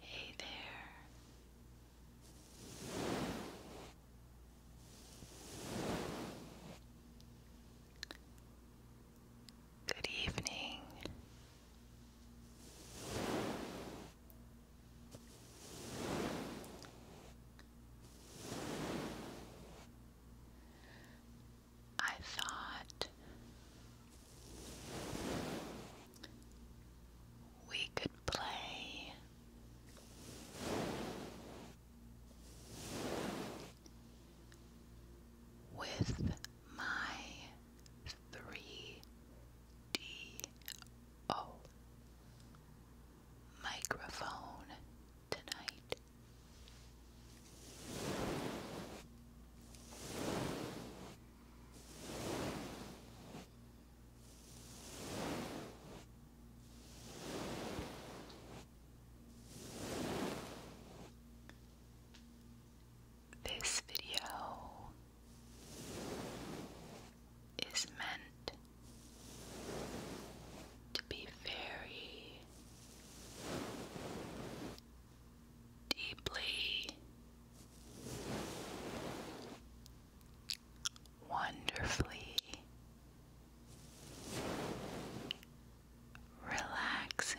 Hey there. Good evening. I thought we could play with my three D O microphone tonight. This video is meant to be very deeply wonderfully relaxing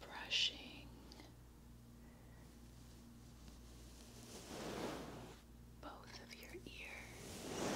Brushing both of your ears.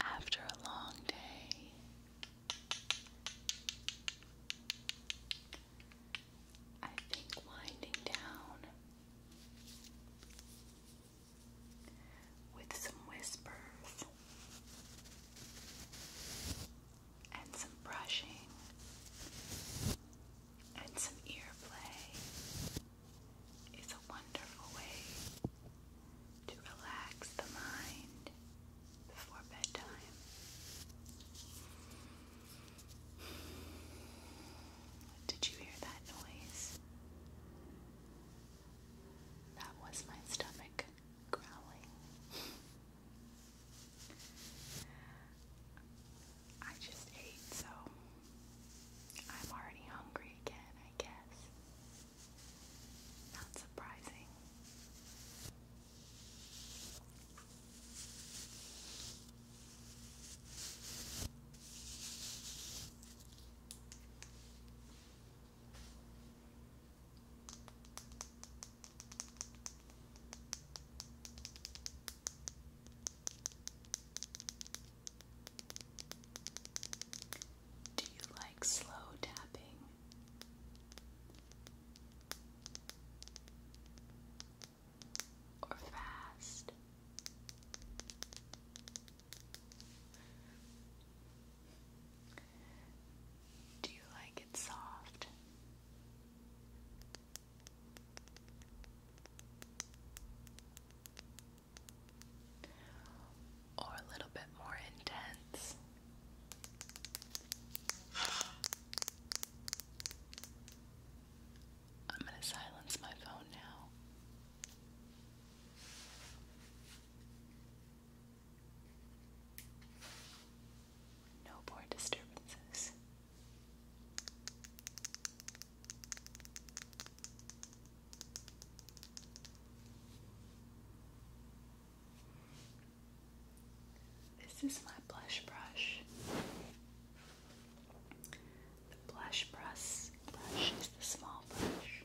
After a long day, I think winding down with some whispers and some brushing and some ear play is a wonderful way to relax the mind before bedtime. Did you hear that noise? That was my stomach growling. I just ate, so I'm already hungry again, I guess. Not surprising. Do you like slow tapping? Or fast? Do you like it soft? Or a little bit more intense? I'm going to silence my phone now. No more disturbances. This is my blush brush. The blush brush, brush is the small brush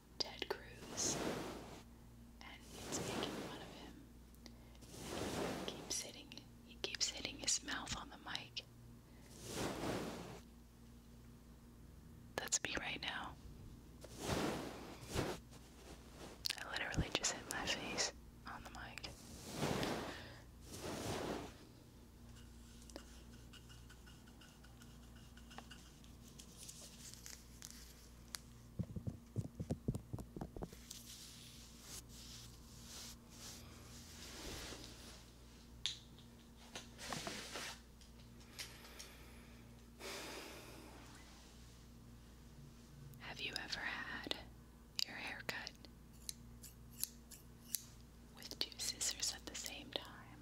Ted Cruz, and it's making fun of him. he keeps hitting, he keeps hitting his mouth on the mic. That's me right now. I literally just hit my face on the mic. Have you ever had your hair cut with two scissors at the same time?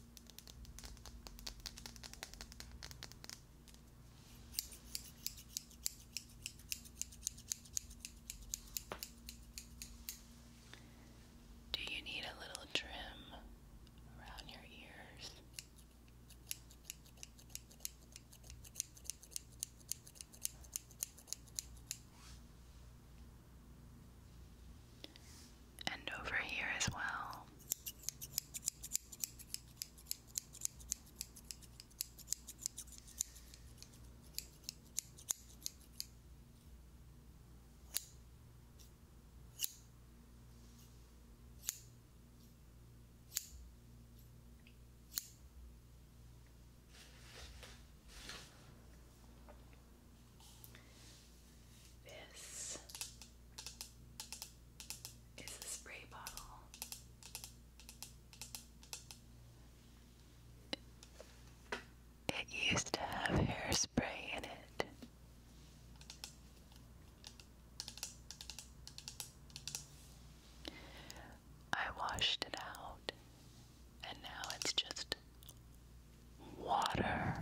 Do you need a little trim around your ears? and over here as well. This is a spray bottle. It used to have hairspray in it. I washed it out, and now it's just water.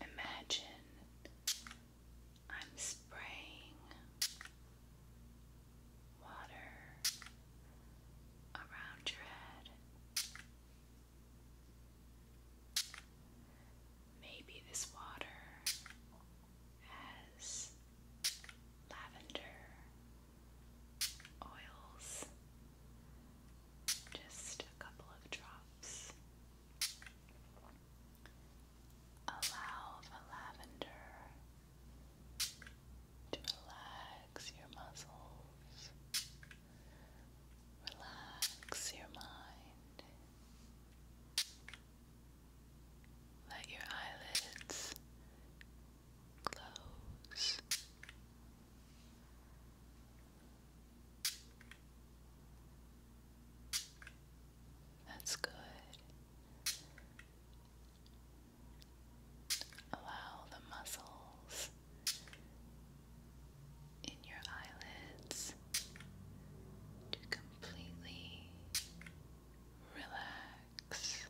Imagine I'm spraying water around your head. Maybe this water has lavender oils, just a couple of drops. Allow the lavender to relax your muscles, relax your mind. Let your eyelids close. That's good. Allow the muscles in your eyelids to completely relax.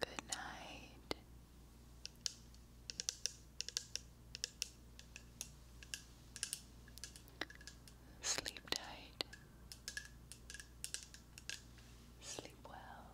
Good night. Sleep tight. Sleep well.